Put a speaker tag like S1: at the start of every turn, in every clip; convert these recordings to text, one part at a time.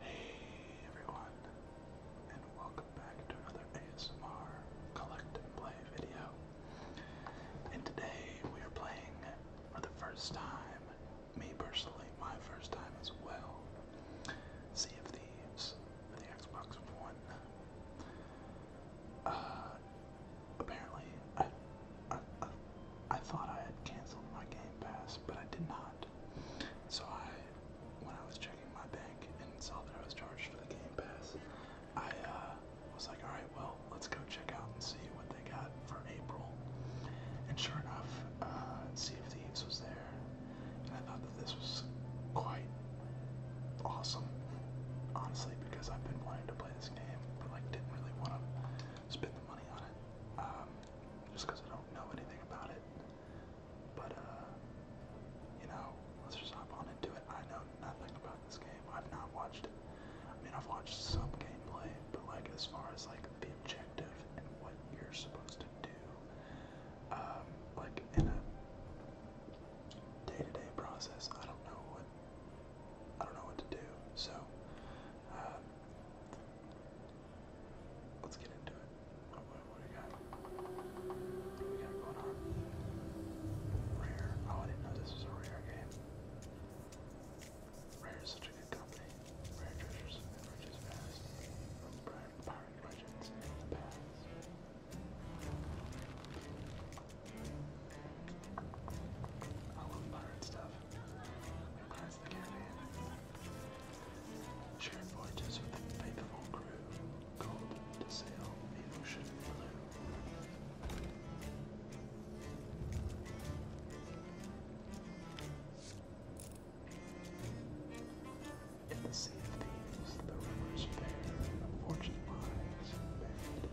S1: Hey everyone, and welcome back to another ASMR collect and play video. And today we are playing for the first time, me personally, my first time as well, Sea for the Xbox One. Uh, apparently, I, I, thought I had canceled my Game Pass, but I did not. So I, when I was checking my bank and saw that I was charged for the Game Pass, I uh, was like, all right, well, let's go check out and see what they got for April. And sure enough, uh, see if the Thieves was there, and I thought that this was quite awesome, honestly, because I've been wanting to play this game, but like didn't really want to spend the money on it. Um, just I don't know anything about it. But, uh, you know, let's just hop on into it. I know nothing about this game. I've not watched it. I mean, I've watched some gameplay, but, like, as far as, like, the objective and what you're supposed to do, um, like, in a day-to-day process, I don't know what, I don't know what to do. So, uh, Let's get into it. What, do we got? we got going on? Rare. Oh, I didn't know this was a rare game. Rare is such a good company. Rare treasures and riches past. From pirate legends in the past. I love pirate stuff. Sharing voyages with the faithful crew, called to sail the ocean blue. In the sea of thieves, the rivers bear, fortune lies buried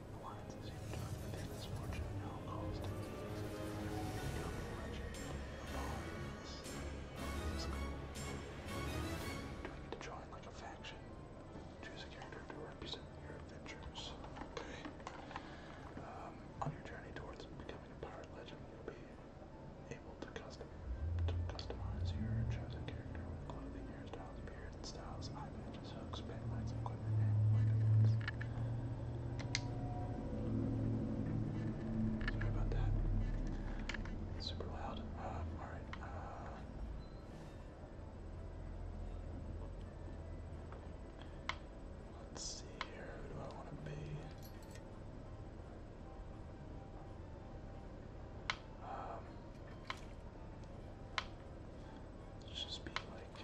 S1: Do I need to join a faction? Choose a character to represent your adventures. Okay. on your journey towards becoming a pirate legend, you'll be able to custom customize your chosen character with clothing, hairstyles, beard styles, eye so expand mines equipment and maintenance. Sorry about that. super loud. Um, Alright. Uh, let's see here. Who do I want to be? Um, let's just be like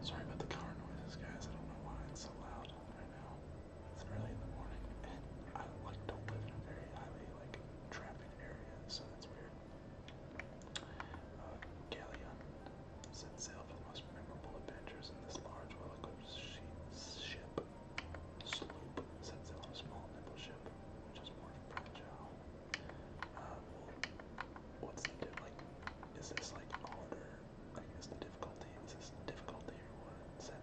S1: Sorry about the car noises, guys. I don't know why it's so loud right now. It's early in the morning, and I like to live in a very highly like traffic area, so that's weird. Galleon uh, set sail for the most memorable adventures in this large, well-equipped ship. Sloop set sail on a small, nimble ship, which is more fragile um, what's the diff Is this like harder? I guess the difficulty? Is this difficulty or what?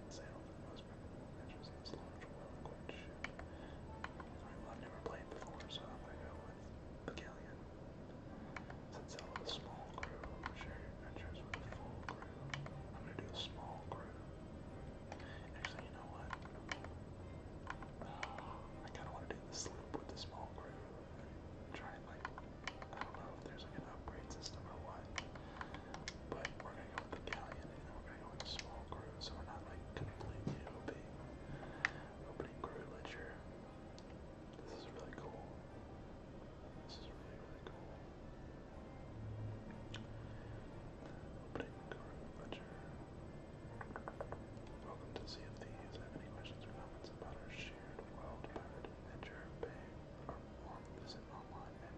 S1: sail for the most memorable measures in this large well I've never played before, so I'm go with the galleon. Since I with a small crew, adventures with a full crew. I'm gonna do a small crew. Actually, you know what? I kind of want to do the sloop with the small crew try like I don't know if there's like an upgrade system or what. But we're gonna go with the galleon and we're gonna go with a small crew, so we're not like completely opening opening crew ledger. This is really cool. This is really really cool. Opening crew ledger. Welcome to Sea of Thieves. Have any questions or comments about our shared world visit online at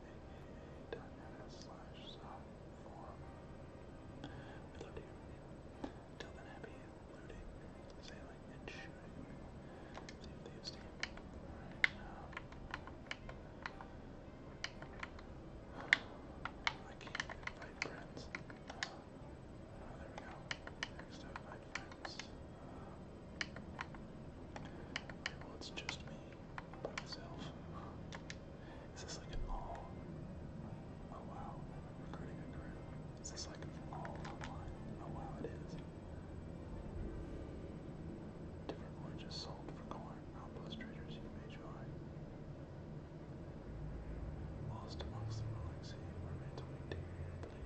S1: aaa.ms slash love to hear from you. Till then, happy looting, sailing, and shooting. Sea um, I can't invite friends there we go. Next up, my friends. Um, well, it's just me by myself. Is this like an all? Oh wow, recruiting a crew. Is this like all Oh wow, it is. Different oranges sold for corn. Outpost you may join. Lost amongst the ruins and were mentally deeply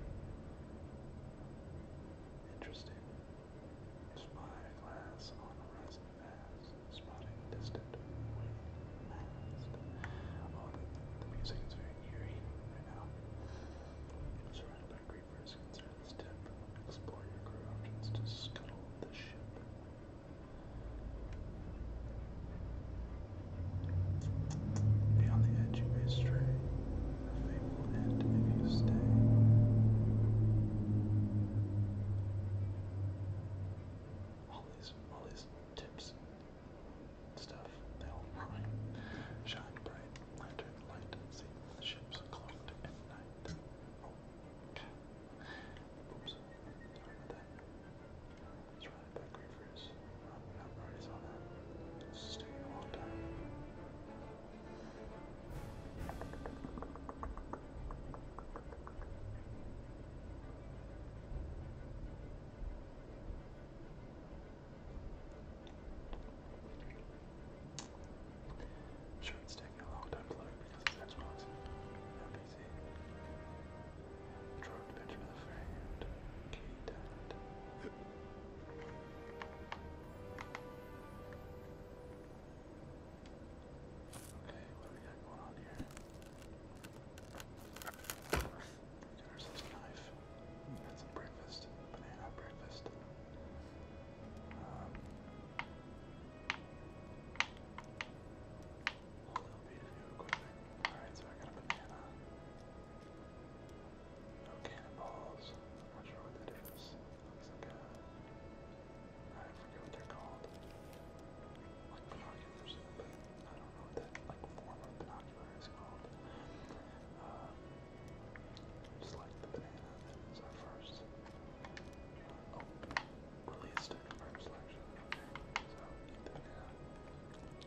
S1: interested. Spy glass on horizon pass, spotting distant wave mast. Oh, the, the music is very eerie right now. surrounded by creepers. Consider this tip. Explore your career options to scuttle the ship. Be the edge, you may stray. A fateful end if you stay. All these, all these tips stuff, they all Shine bright, lantern light, see the ships cloaked at night. Oh, Oops, sorry about that. It's running back great for his. Um, not priorities on that. This is taking a long time. I'm sure it's taking a long time to load because it's Xbox and PC. Dropped it to the friend. Okay, that. Okay, what do we got going on here? We got ourselves a knife. Got some breakfast. Banana breakfast. Um, Hold up, be real quick. Alright, so I got a banana. No cannonballs. I'm not sure what that is. Looks like a. I forget what they're called. Like binoculars, but I don't know what that like form of binocular is called. Um, just like the banana that is our first. Uh, oh, released confirm selection. Okay, so keep the banana.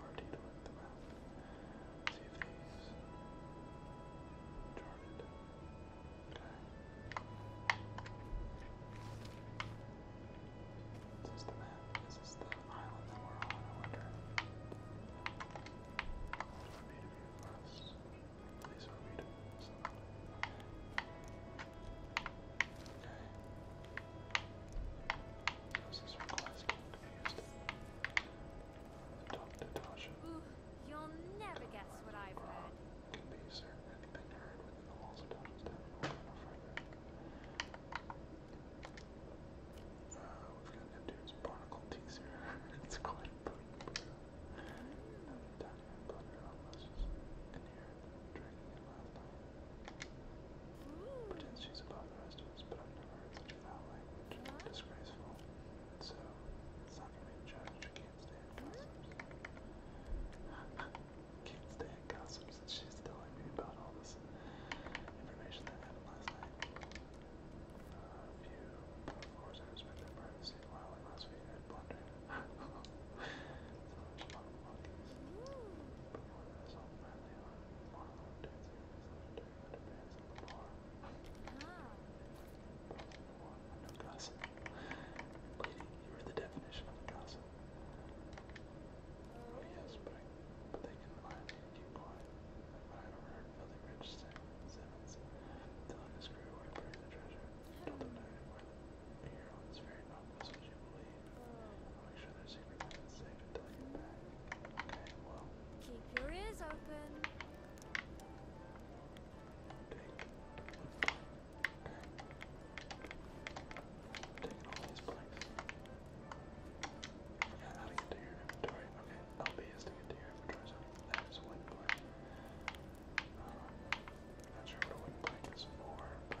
S1: Party to work them out. Let's see if these charted. Okay. Is this the map? Is this the island that we're on? I wonder. What would be to view for us? Please for me to somebody. Okay. How's this request? I'm confused. Talk to Tasha. Ooh, you'll never guess what I've heard. Can be certain anything heard within the walls of Tasha's town will come further. Uh, we've got Neptune's barnacle teaser. it's quite a put Now the tiny butter almost in here, drinking it last night. Pretends she's above the rest of us, but I've never heard such foul language. Disgraceful. So, it's not gonna be judged. Can't stand gossips. Can't stand gossips that she's telling me about all this information that happened last night. Uh, if you, of course, I respect their privacy while I must be head blundering. so much fun monkeys. But more than this, all finally on Marlowe dancing. No Lady, you are the definition of a gossip. yes, but, they can lie and keep quiet. I overheard filthy rich Sam Simmons telling his crew where to bury the treasure. Told them to anywhere. The Huron's very not was you believe. Make sure there's secret that's safe until I get back. Okay, well. Keep your ears open. Take. Okay. Taking all these planks. I forgot how to get to your inventory. Okay, LB is to get to your inventory, so that's one plank. Um, not sure what a wooden plank is for, but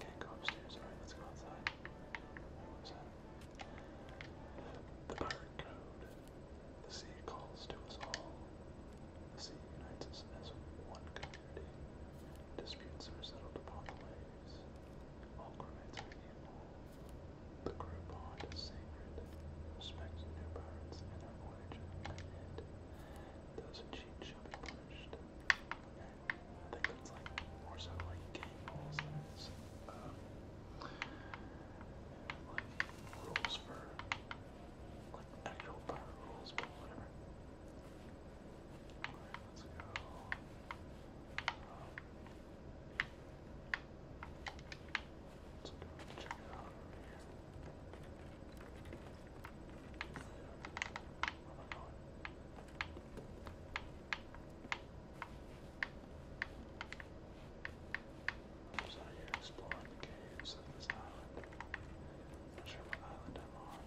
S1: Can't go upstairs. Alright, let's go outside. The pirate The sea calls to us all. The sea unites us as one community. Disputes are settled upon the waves. All crewmates are equal. The crew bond is sacred. Respect new pirates and our voyage those who cheat shall be punished. I think that's like more so like game rules um, like rules for like actual rules, whatever. let's go. Let's um, go check it out over here. So you're exploring the caves of this island. I'm not sure what island I'm on.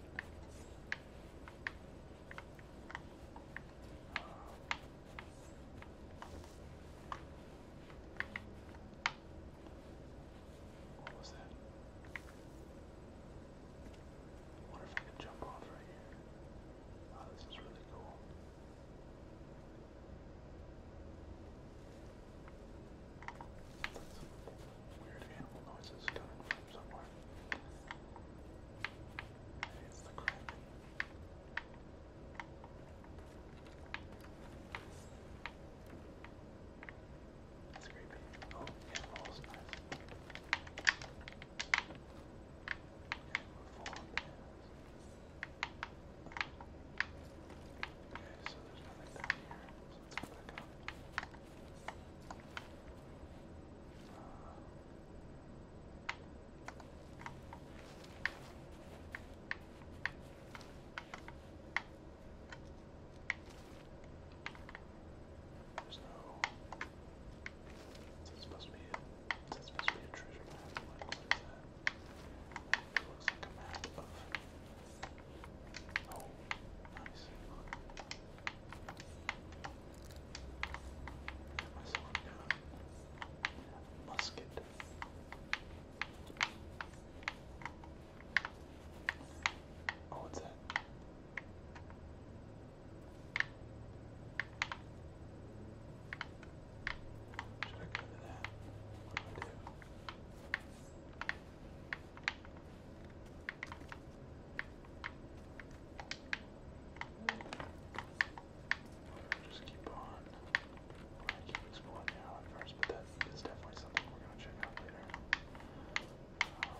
S1: Um, what was that? I wonder if I can jump off right here. Wow, oh, this is really cool. Some weird animal noises coming from somewhere. Maybe it's the crack. Wow, that's creepy. Oh, yeah, balls, nice. Okay, move forward. Okay, so there's nothing down here. So let's go back up. Uh, Okay, there's no. Is that supposed to be a, is that be a treasure map? looks like a map of. Oh, nice. Look. Got myself a Musket. Oh, what's that? Should I go to that? What do I do? just keep on. I keep exploring the island first, but then that is definitely something we're going to check out later. Um,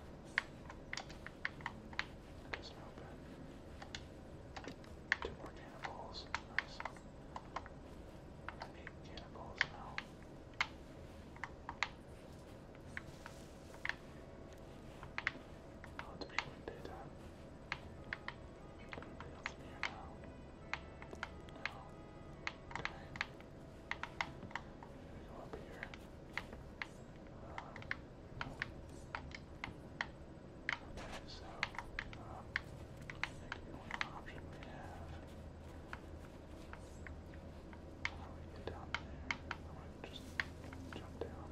S1: it Two more cannonballs. Nice. I need now. I'll have to be going here now? No. Go up here. Uh, okay, so um, that could be one option we have. How do we get down there? I want to just jump down.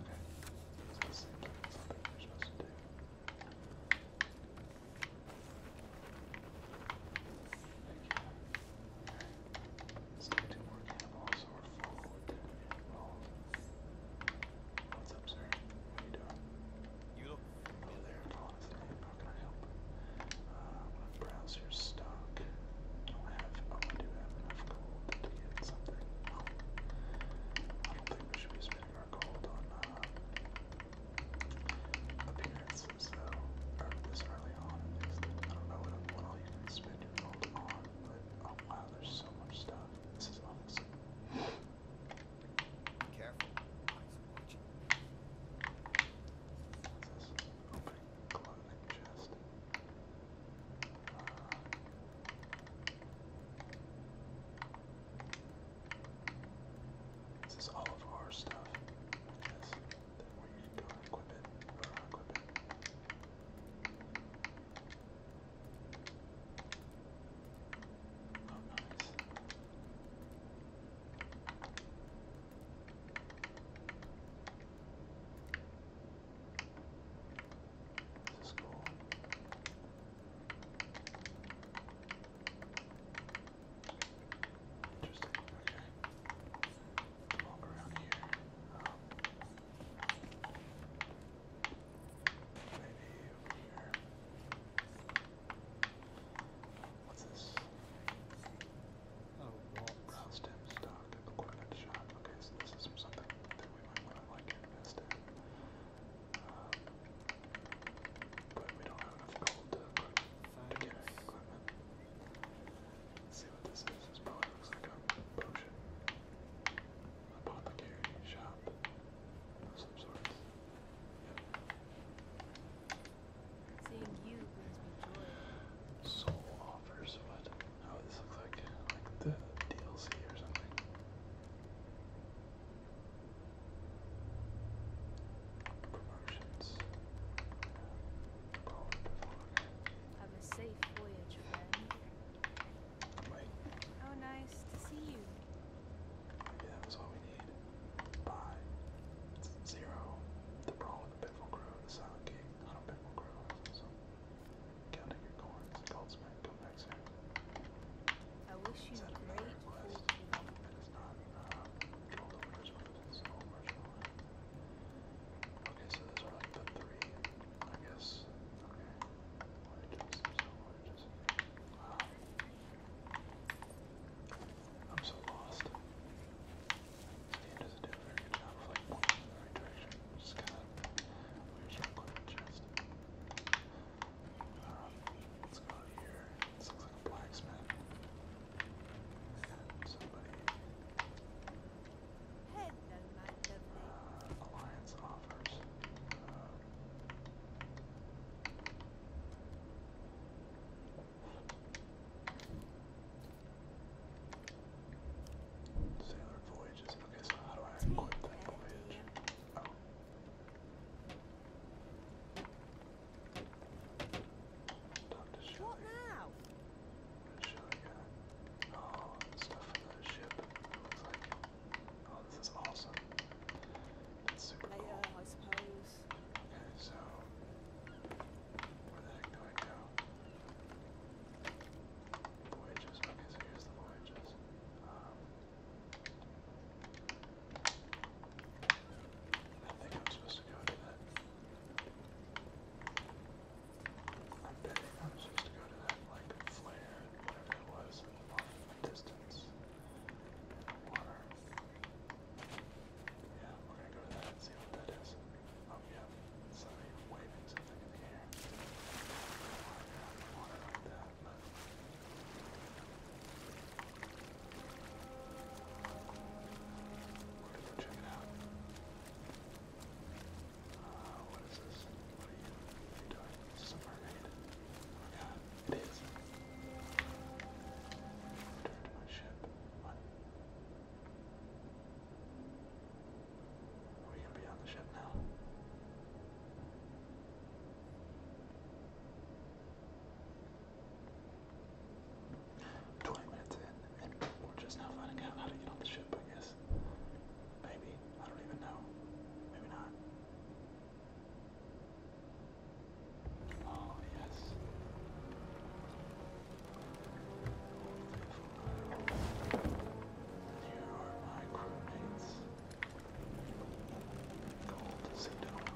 S1: Okay. So this seems like something we're supposed to do. Seventy What's up, sir? What you doing? You look familiar. can I help? Uh, I'm I have. Oh, I do have enough gold to get something. I don't think we should be spending our gold on appearance, so or this early on at least. I don't know what, what all you can spend your gold on, but oh wow, there's so much stuff. This is awesome. Be careful. This is opening clothing chest. Uh, this is all of our stuff. Oh, nice. This is cool. Interesting. Okay. Walk around here. maybe um, over here. What's this? Oh, Rouse stem stock, equipment shop. Okay, so this is something that we might want to like invest in. Um, but we don't have enough gold to equip equipment. see what this is. This probably looks like a potion. Apothecary shop of some sort. Seeing you brings me joy. Soul offers what? Oh, this looks like like the DLC or something. Promotions. Have a safe voyage, friend. Oh, nice to see you. Maybe that what we need. Buy. Zero. The brawl with the pitfall crew, the silent king. I don't crew. Counting your coins. Goldsmith, come back soon. I wish you great Okay, so those like the three, I guess. Okay. I'm so lost. This doesn't do a very good job of like pointing the right direction. It's just kind of weird. Just um, let's go here. This looks like a blacksmith. somebody. Alliance offers. Uh, Sailor Voyages. Okay, so how do I equip that voyage? Oh. What now? Oh, stuff from the ship. this is awesome. Later, I suppose. Okay, so where the heck do I go? Voyages. Okay, here's the voyages. I think I'm supposed to go to that. I'm betting I'm supposed to go to that like flare, whatever it was, off in the distance. In the water. Yeah, we're gonna go to that and see what that is. Oh yeah, somebody waving something in the air. I don't want to go in the water like that, but where did you check it out? Uh, what is this? What are you, what are you doing? Is this a mermaid? Oh god, it is. Return to my ship. What? Are we gonna be on the ship now? 20 minutes in, and we're just now finding out how to get on the ship, I guess. Maybe. I don't even know. Maybe not. Oh, yes. Here are my crewmates. Gold, Sedona,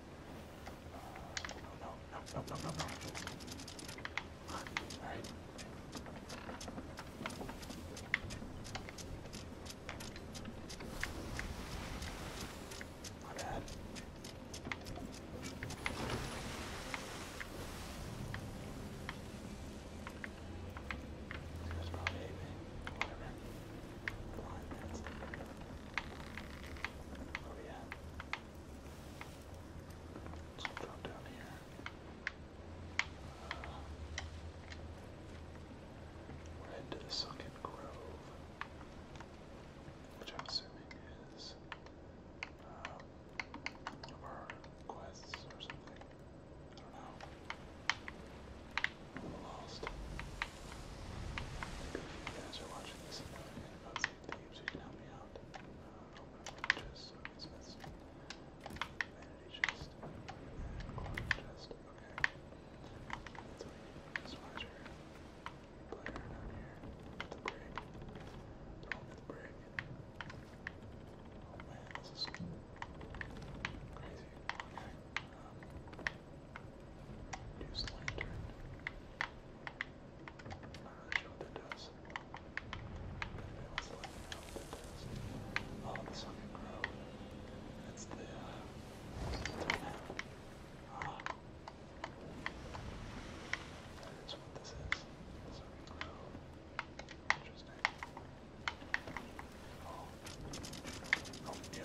S1: No, no, no, no, no, no. All right. My bad. That's about it, man. Whatever. Come on, that's it. Oh yeah. Let's drop down here. Uh, we Grove, which I'm assuming is one um, of our quests or something. I don't know you guys are watching this and everything about St. Thieves, you can help me out. Uh, open up my chest, so it's this vanity chest and clock chest. Okay. That's all you need is Watcher, player down here, the break. Throw me the break. Oh man, this is crazy. Okay. Um, Use lantern. I'm not really sure what that does. Anyway, let's let me know what that does. Oh, the sun can grow. That's the, uh, that's Ah. That is what this is. The sun can grow. Interesting. Oh. Oh, yeah,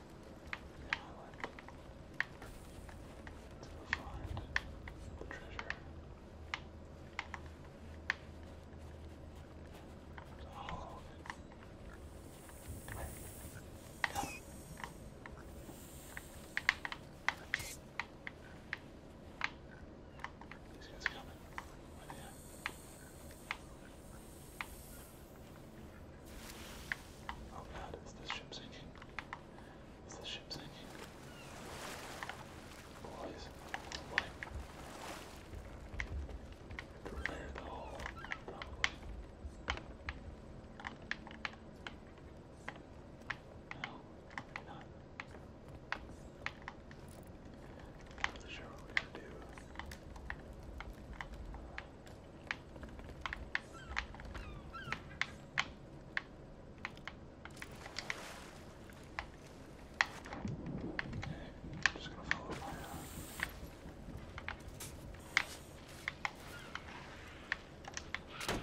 S1: island to find the treasure. To hollow it. Come here. These guys are coming. Right oh, here. Oh god, is this ship sinking? Is this ship sinking? Boys, what? Repair the hole, No, not. Not really just gonna follow my. Uh...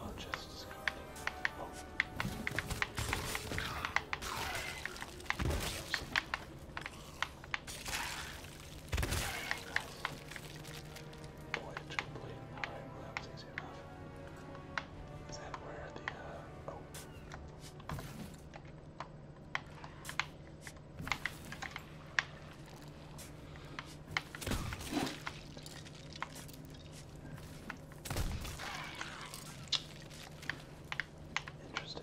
S1: Oh, just. Oh. There's Voyage complete. Alright, well that was easy enough. Is that where the uh oh Interesting.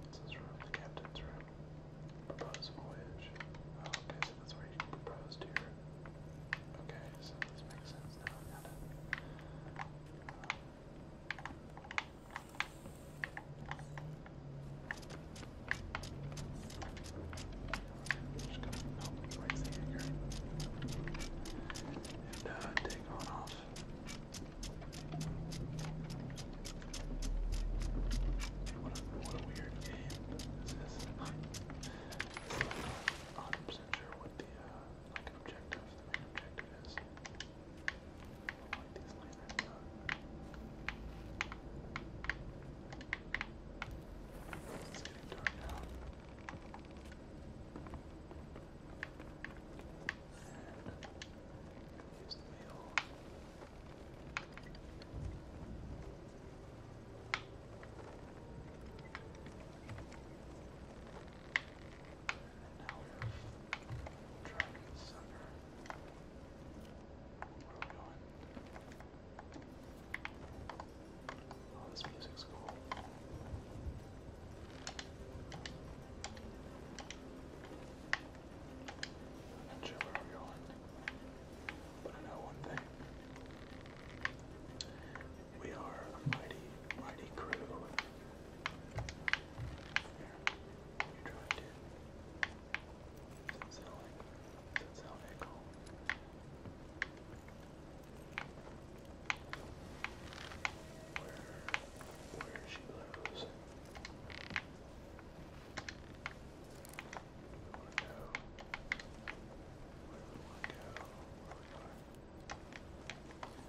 S1: What's this room? The captain's room. Propose voyage. Oh, okay, so that's where you can propose to your. Okay, so this makes sense now. I got it. Um, just gonna melt the right thing here. And uh, take on off. What a, what a weird game this is. I'm not 100% sure what the uh, like objective, the main objective is. I like these liners. Uh, it's getting dark now. And use the wheel. And now we're driving center. Where are we going? Oh, this music's cool. not sure where we're going, but I know one thing. We are a mighty, mighty crew. Here, you drive, it. Does sound like, sound echo? Where, where she goes. We want to go. Where do we want to go? Where we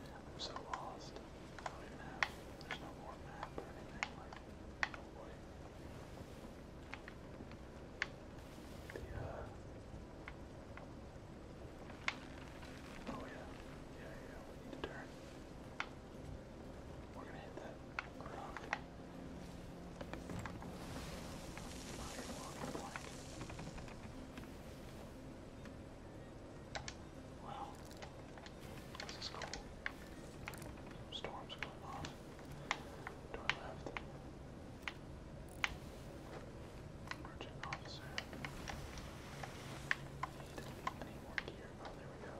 S1: are. I'm so lost. I don't even have. There's no more map or anything. Like, oh boy. The, uh, Oh yeah, yeah, yeah. We need to turn. We're gonna hit that rock. Wow, this is cool. Storms going off. To our left. Merchant officer. need any more gear. there we go.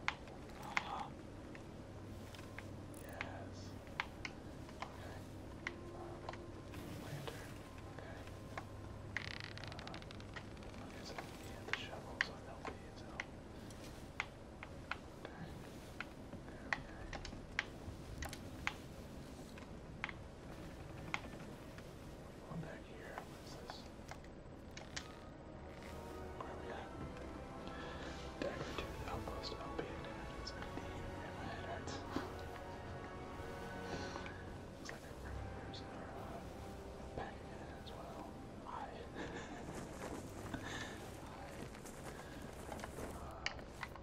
S1: Yes. Okay. lantern. Okay. Um, I guess need the shovel, so that'll be his help. Okay. One back here. What is this? Where are we at? Dagger to the outpost, outbeated, and it's like deep, and my head hurts. It's like our revivers are uh, back again as well. I. I. Uh,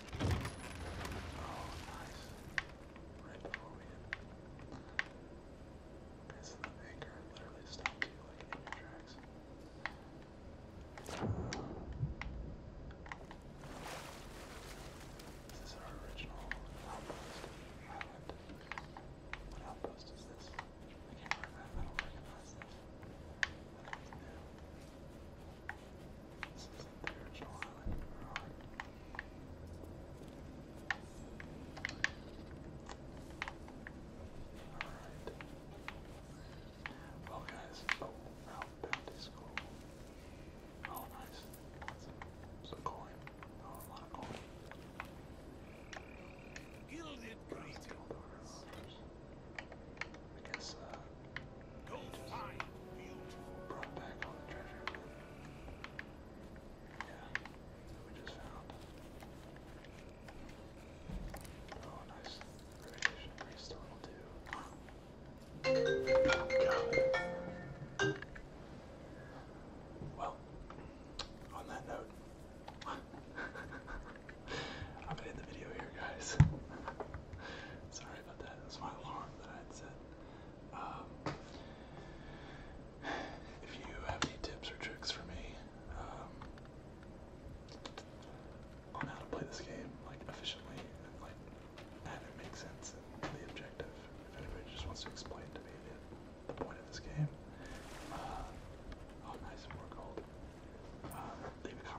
S1: nice. Right before we hit. Okay, so the anchor literally stopped you like in your tracks. This is our original outpost island. What outpost is this? I can't remember. I don't recognize this. This is the Virgil Island Rod. Alright. Well, guys, oh, Ralph Bounty's cool. Oh, nice. That's a, some coin. Oh, a lot of coin. Gilded Greetings. I guess uh Go just brought back all the treasure. Yeah, we just found. Oh nice. Radiation priest level Well, on that note, I'm gonna end the video here, guys. Sorry about that. It my alarm that I had set. Um, if you have any tips or tricks for me um, on how to play this game, like efficiently and like have it make sense and the objective, if anybody just wants to explain to me the, point of this game, uh, oh nice, more gold. Uh, leave a comment